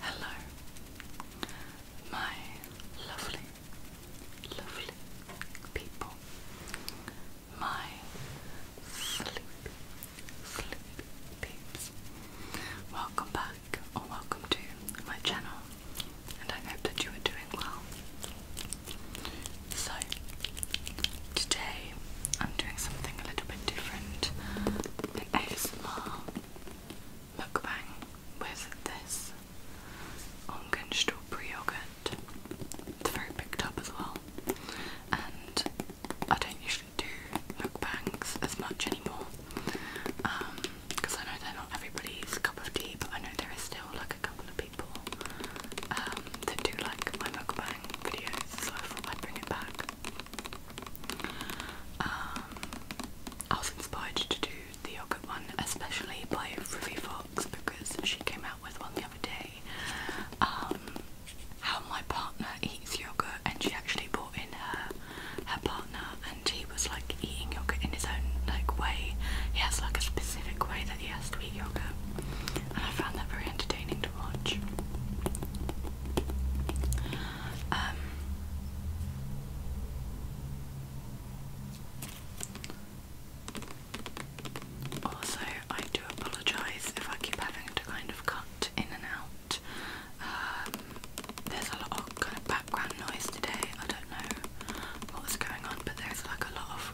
Hello, my lovely, lovely people, my sleep, sleep peeps. Welcome back, or welcome to my channel, and I hope that you are doing well. So, today I'm doing something a little bit different an ASMR mukbang with this Ongen strawberry yogurt. It's very picked up as well, and I don't usually do mukbangs as much anymore because um, I know they're not everybody's cup of tea, but I know there is still like a couple of people um, that do like my mukbang videos, so I bring it back. Um, I was inspired to do the yogurt one, especially by Ruby Fox because she came out with one the other day. Um, how my partner eats yogurt, and she actually brought in her her partner, and he was like eating yogurt in his own like way. He has like a specific way that he has to eat yogurt, and I found that very entertaining to watch. Um, also, I do apologise if I keep having to kind of cut in and out. Um, there's a lot of kind of background noise today. I don't know what's going on, but there's like a lot of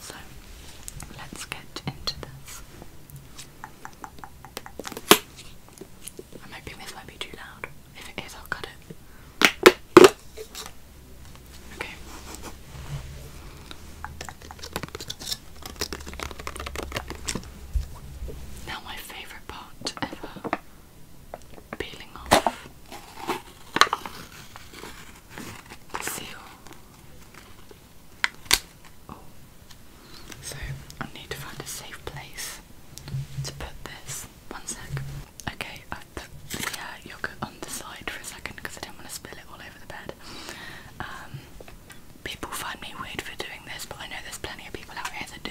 so let's get into this. I'm hoping this won't be too loud. If it is, I'll cut it. Okay. Now, my favourite part ever peeling off seal. Oh. So I need to find a safe place to put this. One sec. Okay, i put the uh, yogurt on the side for a second because I didn't want to spill it all over the bed. Um, people find me weird for doing this, but I know there's plenty of people out here do.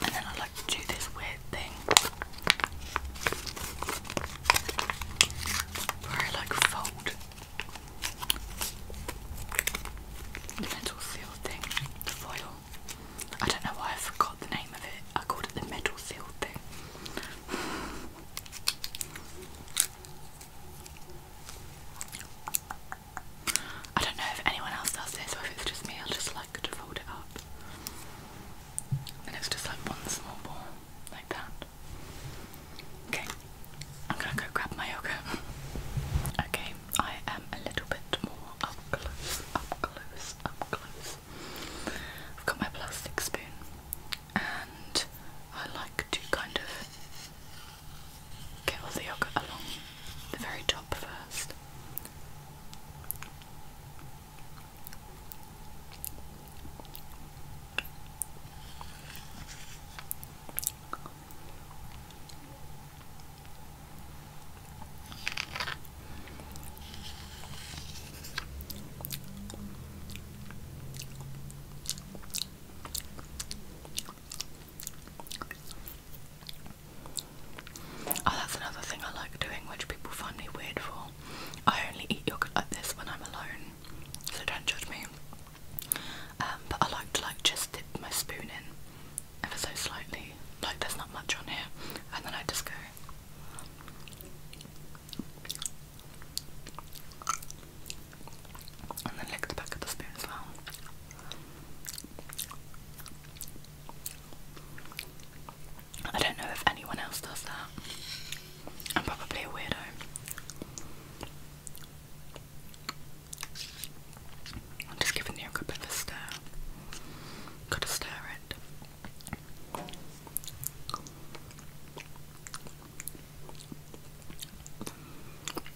And then I like to do this weird thing where I like fold the metal seal thing, the foil. I don't know why I forgot the name of it. I called it the metal seal thing. I don't know if anyone else does this or if it's just me, I'll just like to fold it up. And it's just like one small ball, like that. Okay, I'm gonna go grab my yogurt. okay, I am a little bit more up close, up close, up close. I've got my plastic spoon and I like to kind of get all the yogurt along the very top first. Oh, that's another thing I like doing, which people find me weird for. I only eat yogurt like this when I'm alone, so don't judge me. Um, but I like to like just dip my spoon in ever so slightly, like there's not much on here, and then I just go. And then lick the back of the spoon as well. I don't know if anyone else does that. I'm probably a weirdo. I'm just giving the yogurt a bit of a stir. Gotta stir it.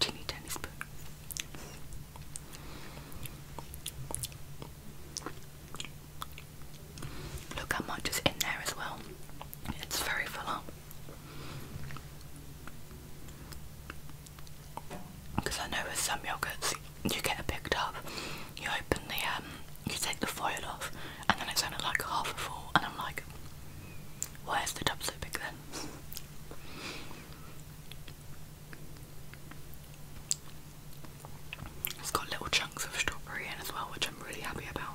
Teeny tiny spoon. Look how much is in there as well. It's very full up. Because I know with some yogurts you get it picked up, you open the um, you take the foil off, and then it's only like half a full, and I'm like, why is the tub so big then? It's got little chunks of strawberry in as well, which I'm really happy about.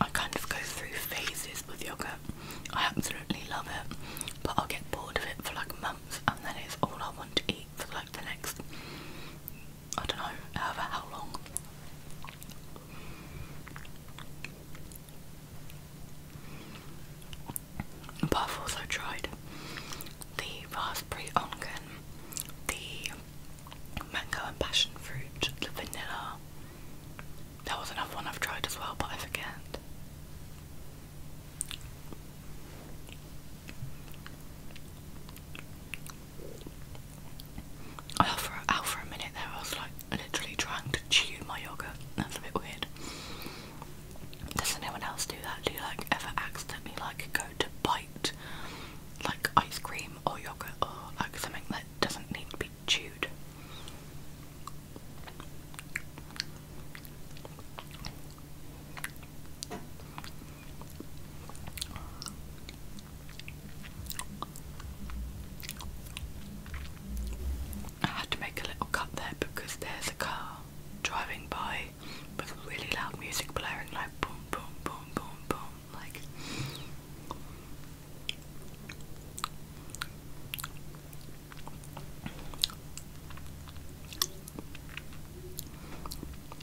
I kind of go through phases with yogurt. I absolutely love it, but I'll get bored of it for like months, and then it's all I want to eat for like the next I don't know, however, how long. But I've also tried the raspberry ongen, the mango and passion fruit, the vanilla. That was another one I've tried as well, but I forget. Out for, out for a minute there, I was like literally trying to chew my yogurt. That's a bit weird. Does anyone else do that? Do you like ever accidentally like go to bite like ice cream or yogurt or like something that doesn't need to be chewed? I had to make a little cut there because there's a car driving by with really loud music blaring like boom boom boom boom boom like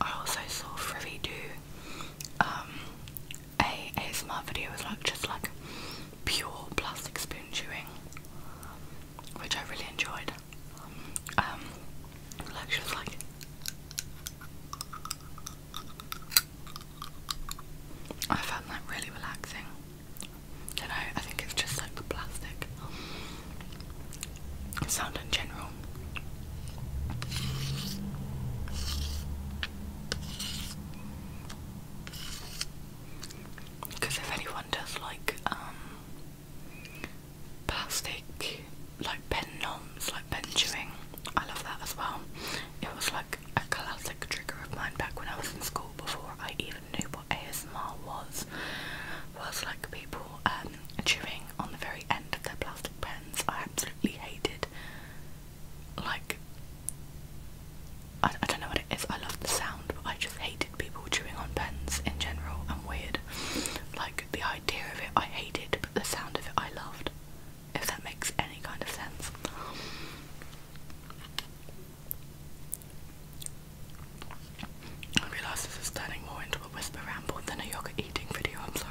I also saw Frivy do um, a ASMR video was like just like pure plastic spoon chewing, which I really enjoyed. Um, like she like, I found that really relaxing. You know, I think it's just like the plastic sound in general because if anyone does like um, plastic, like pen noms, like pen chewing, I love that as well. It was like a classic trigger of mine back when I was in school before I even knew what ASMR was. Was like people um, chewing on the very end of their plastic pens. I absolutely hated. Like, I, I don't know what it is. I love the sound, but I just hated people chewing on pens in general. I'm weird. Like the idea of it, I hated, but the sound of it, I loved. If that makes any kind of sense. I realise this is turning more into a whisper ramble than a yoga eating video, I'm sorry.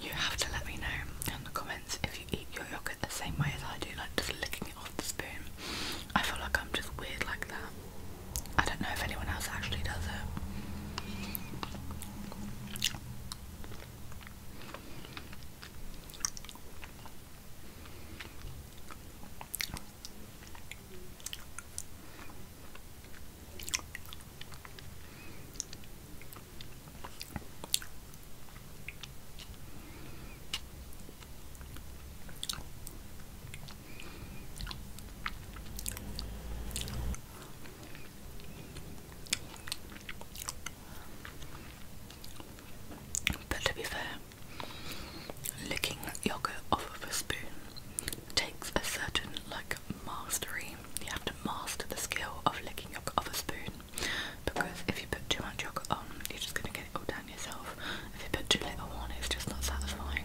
You have to let me know in the comments if you eat your yogurt the same way as I do, like just licking it off odd spoon. I feel like I'm just weird like that. I don't know if anyone else actually does it. But to be fair, licking yogurt off of a spoon takes a certain like mastery. You have to master the skill of licking yogurt off a spoon because if you put too much yogurt on, you're just going to get it all down yourself. If you put too little on, it's just not satisfying.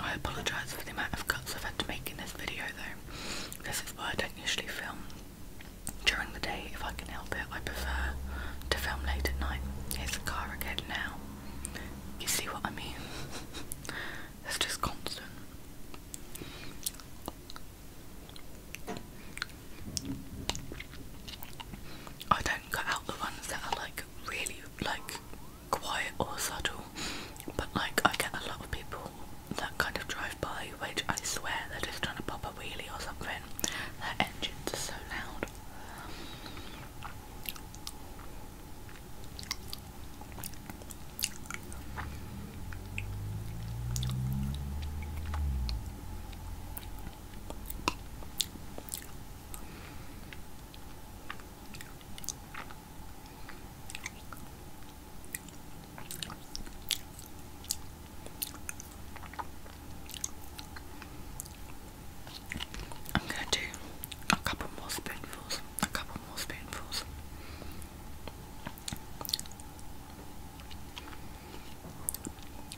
I apologise for the amount of cuts I've had to make in this video though. This is why I don't usually film during the day if I can help it. I prefer to film late at night. Here's the car again now. You see what I mean? it's just constant. I don't cut out the ones that are like really like quiet or subtle, but like I get a lot of people that kind of drive by, which I swear they're just trying to pop a wheelie or something. Their engines are so loud. I'm going to do a couple more spoonfuls, a couple more spoonfuls.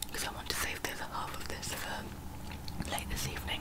Because I want to save the other half of this for uh, later this evening.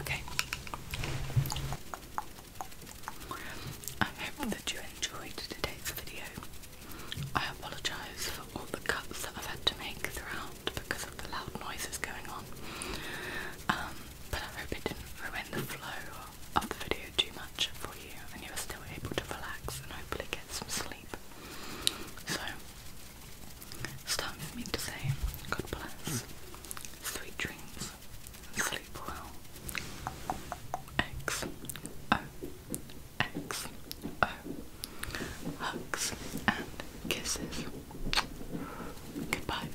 Okay. I hope that you enjoyed today's video. I apologise for all the cuts that I've had to make throughout because of the loud noises going on. Um, but I hope it didn't ruin the flow up the video too much for you and you are still able to relax and hopefully get some sleep. So, time for me to say God bless, sweet dreams, sleep well. X O X O hugs and kisses. Goodbye.